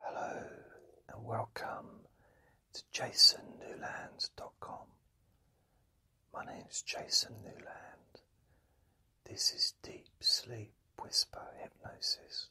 Hello and welcome to jasonnewlands.com. My name's Jason Newland. This is Deep Sleep Whisper Hypnosis.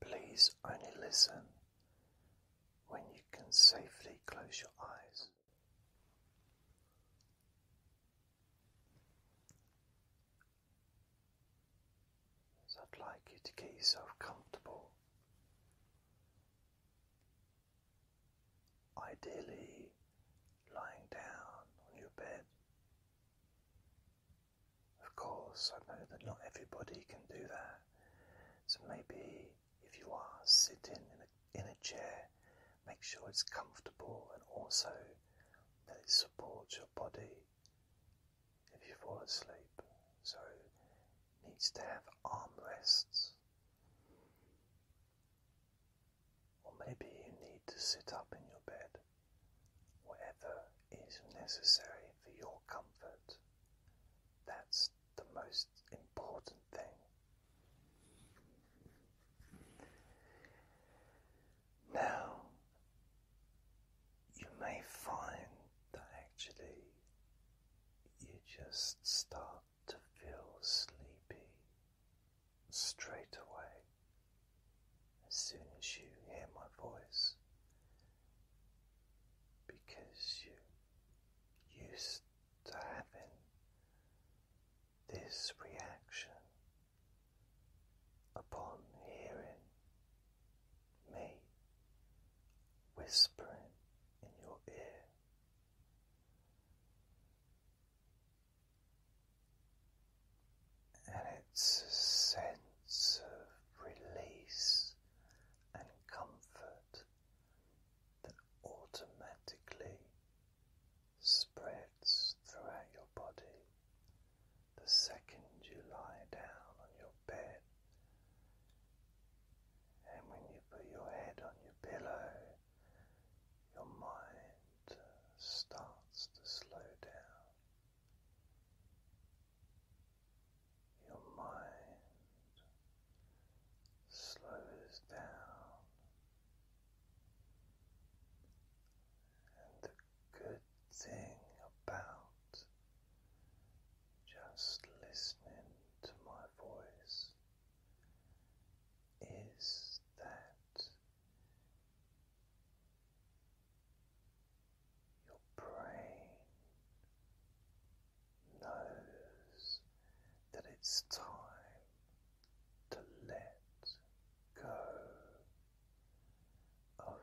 Please only listen when you can safely close your eyes. So I'd like you to get yourself comfortable. Ideally, lying down on your bed. Of course, I know that not everybody can do that. So maybe if you are sitting in a, in a chair, make sure it's comfortable and also that it supports your body if you fall asleep. So it needs to have arm rests, Or maybe you need to sit up in your bed, whatever is necessary for your comfort. That's the most important thing. Now you may find that actually you just start to feel sleepy straight away as soon as you hear my voice because you're used to having this reaction upon hearing me whispering in your ear. And it's a sense of release and comfort that automatically spreads throughout your body the second you lie down on your bed, and when you put your head on your pillow, your mind starts to slow down. Your mind slows down and the good thing about just listening to my voice is that your brain knows that it's time to let go of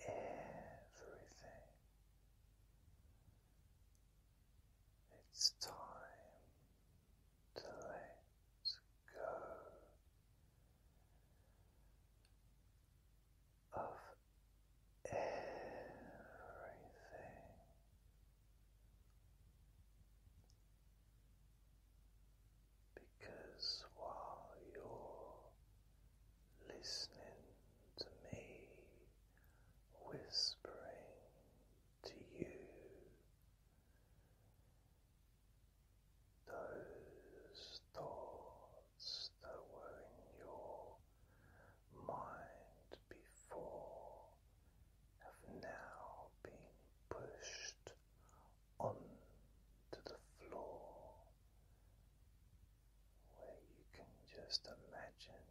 everything. It's time to let go of everything. Because while you're listening to me whispering to you, those thoughts that were in your mind before have now been pushed onto the floor where you can just imagine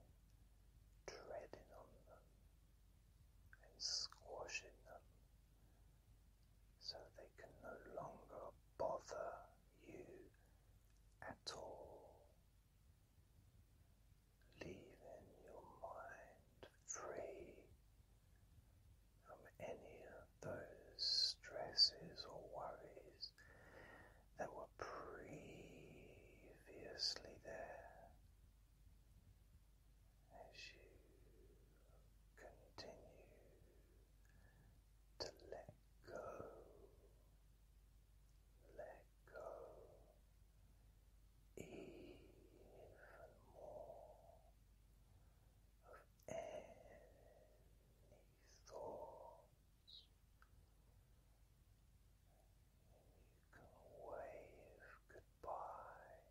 treading on them and squashing them so they can no longer bother you at all. Leaving your mind free from any of those stresses or worries that were previously there as you continue to let go, let go even more of thoughts, you can wave goodbye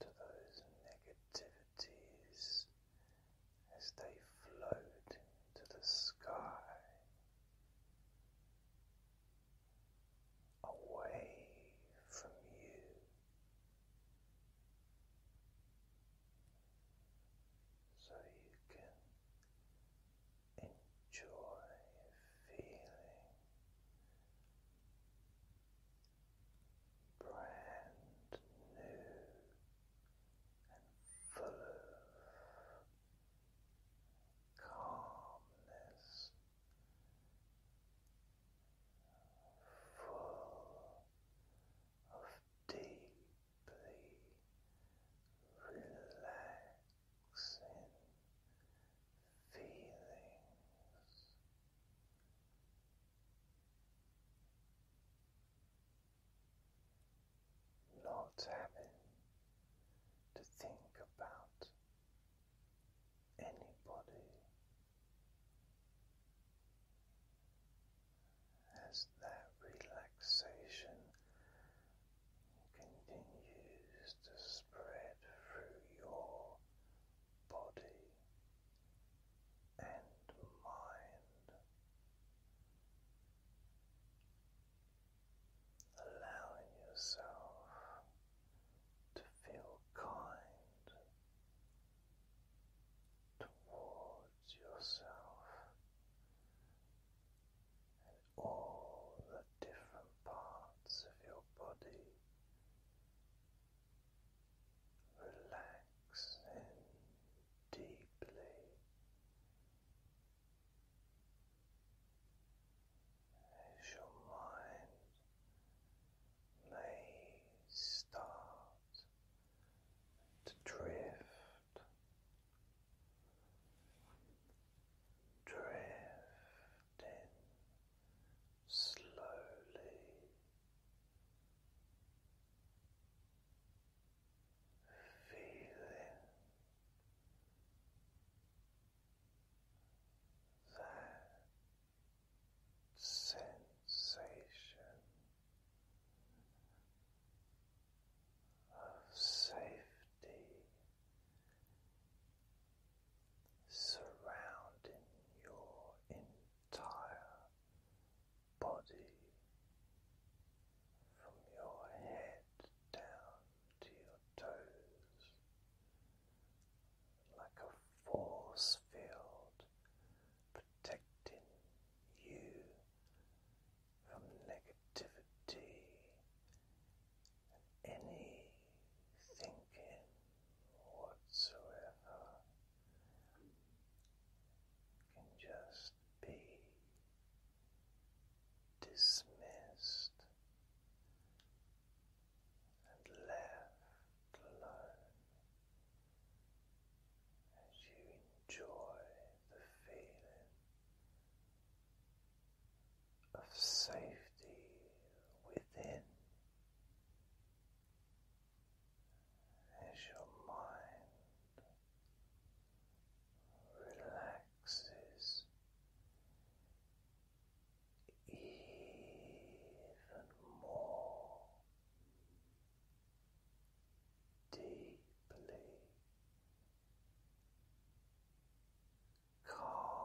to those negativities as they float into the sky away from you. So you can enjoy feeling brand new and full of calmness full of deeply relaxing feelings. Not having to think about anybody as that relaxation continues to spread through your body and mind. Allowing yourself to feel kind towards yourself and all the different parts of your body relaxing deeply as your mind may start to drift, drifting slowly. Feeling that sensation of safety surrounding your entire body from your head down to your toes like a force field protecting you from negativity any thinking whatsoever can just be dismissed and left alone as you enjoy the feeling of safety within. As your mind relaxes even more deeply calm and knowing.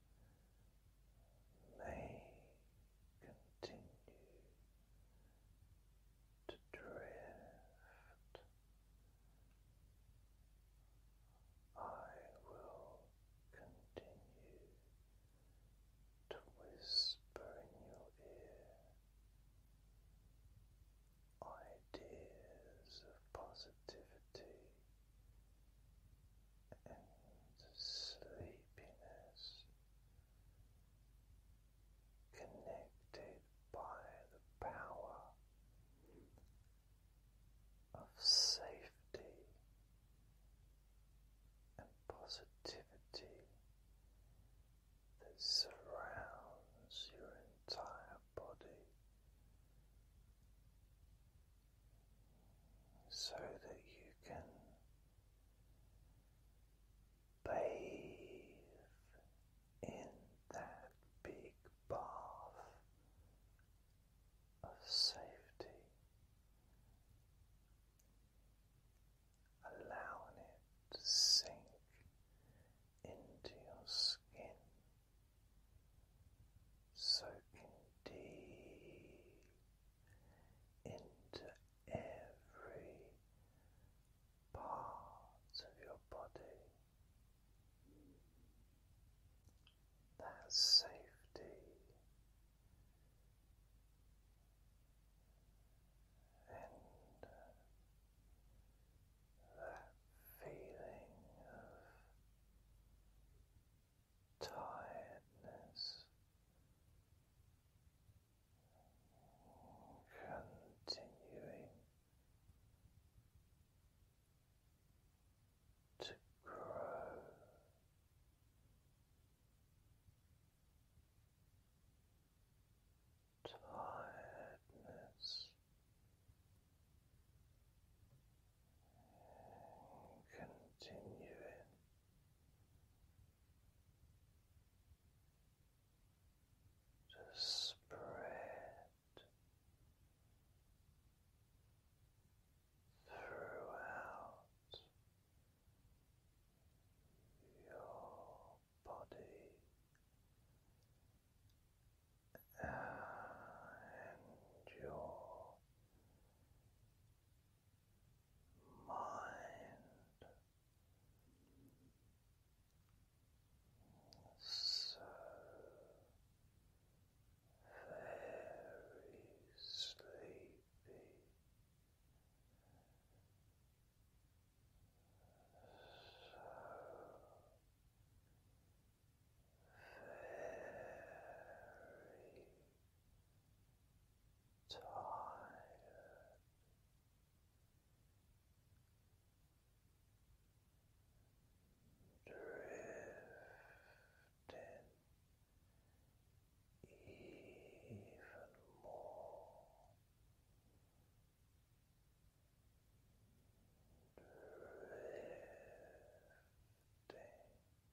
may continue to drift. I will continue to whisper in your ear ideas of positivity and sleepiness connected by the power of safety and positivity that surrounds your entire body so that you can bathe in that big bath of safety, allowing it to sink into your skin. Soaking deep into every part of your body. That safety and that feeling of tiredness continuing to grow. Tiredness and continuing. To spread throughout your body and your mind so very sleepy. So very tired. Drifting even more, drifting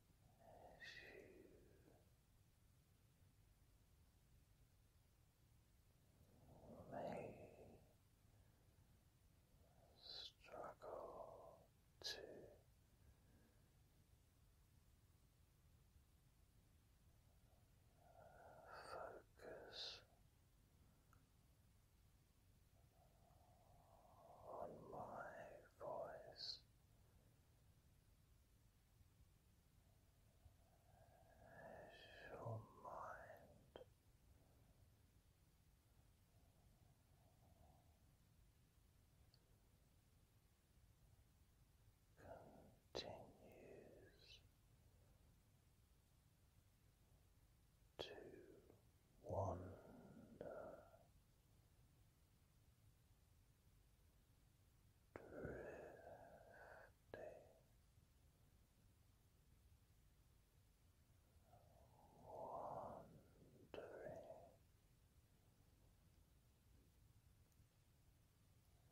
you may struggle to focus on my voice as your mind continues to wander drifting wandering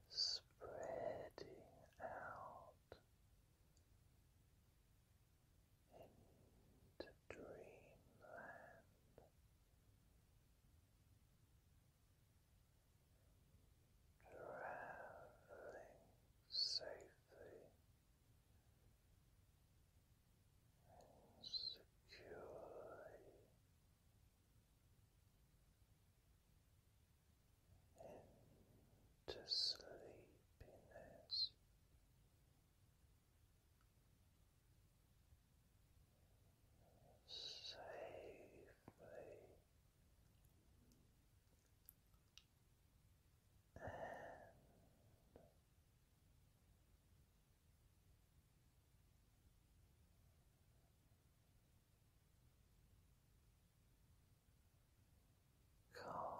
spreading out into dreamland. Traveling safely and securely into sleepiness safely and calmly.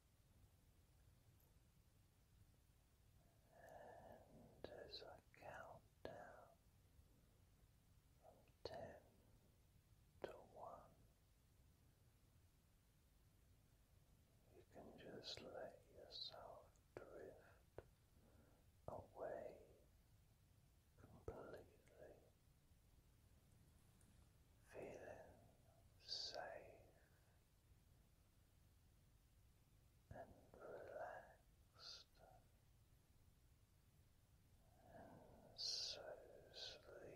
And as I count down from ten to one, you can just let yourself drift away completely, feeling safe and relaxed and so sleepy.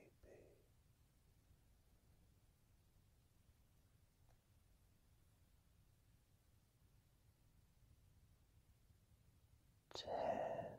Ten